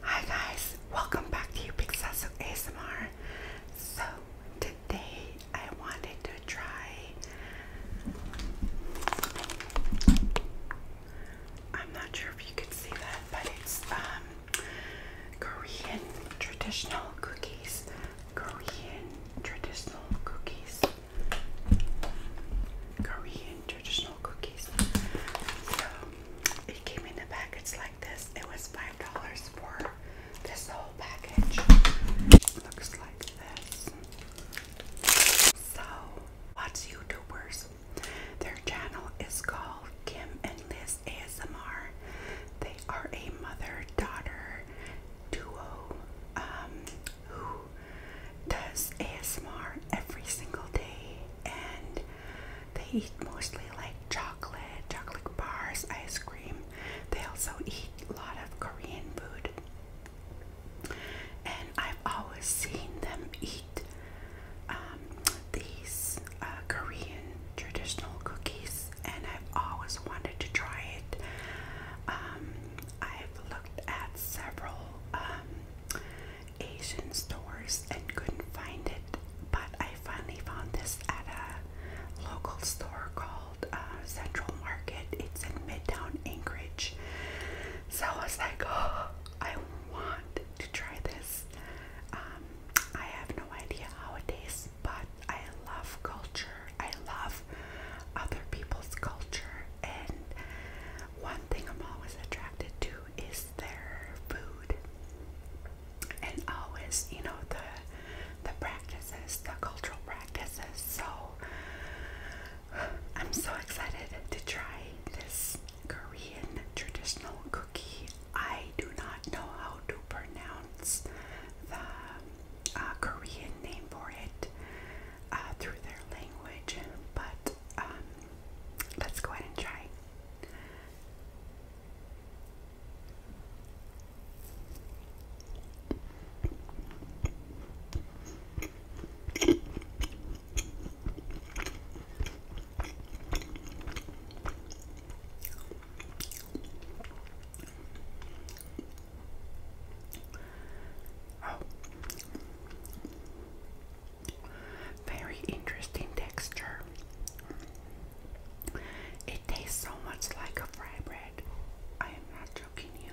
Hi guys, welcome back to Pixasso ASMR. So today I wanted to try I'm not sure if you could see that, but it's um, Korean traditional cookies. Korean traditional cookies. Korean traditional it came in the package like this. It was five dollars for this whole package. Looks like this. So what's YouTubers? Their channel is called Kim and Liz ASMR. They are a mother-daughter duo um, who does ASMR every single day, and they eat mostly like chocolate, chocolate bars, ice cream. They also eat a lot of Korean food. And I've always seen them eat um, these uh, Korean traditional cookies, and I've always wanted to try it. Um, I've looked at several um, Asian stores and couldn't find it, but I finally found this at a local store called uh, Central Market. It's in Midtown Anchorage. So I was like, oh, I want to try this. Um, I have no idea how it is, but I love culture. I love other people's culture, and one thing I'm always attracted to is their food. And always, you know, the the practices, the cultural practices. So I'm so excited to try this Korean traditional cookie. I do not know how to pronounce the uh, Korean name for it uh, through their language, but um, let's go ahead and try. Very interesting texture. It tastes so much like a fry bread. I am not joking you.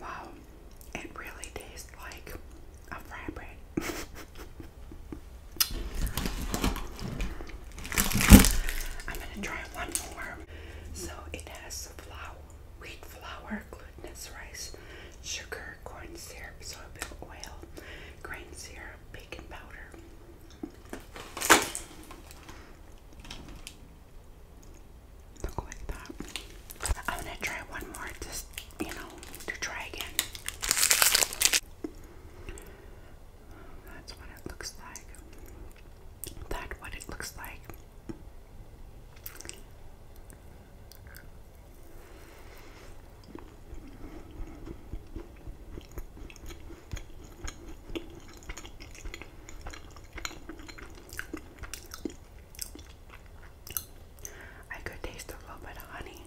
Wow, it really tastes like a fry bread. I'm gonna try one more. So it has flour, wheat flour, glutinous rice, sugar, corn syrup, soybean oil, grain syrup, baking powder like that. I'm gonna try one more just, you know, to try again. That's what it looks like. That what it looks like. I could taste a little bit of honey.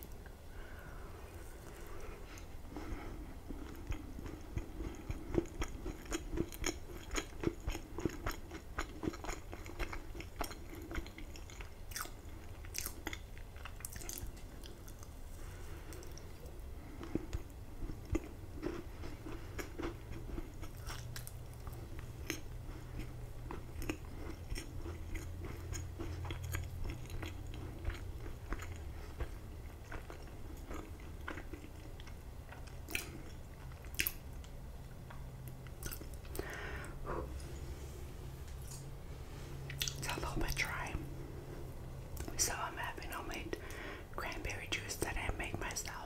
It's a little bit dry. So I'm having homemade cranberry juice that I made myself.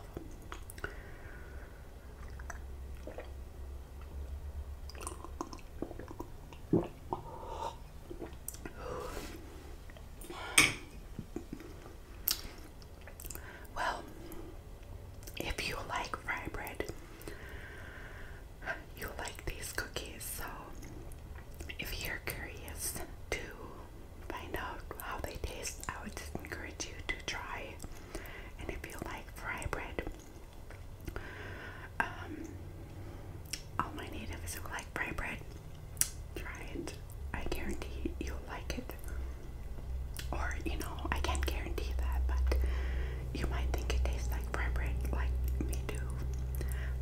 Well, if you like rye bread, you like these cookies. So if you're curious to find out how they taste, I would encourage you to try. And if you like fry bread, um, all my natives who like fry bread, try it. I guarantee you'll like it. Or, you know, I can't guarantee that, but you might think it tastes like fry bread, like me do.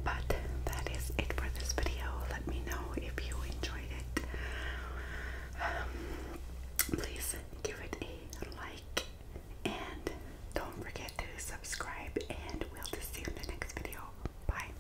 But that is it for this video. Let me know if you enjoyed it. Um, please give it a like and don't forget to subscribe and we'll see you in the next video. Bye.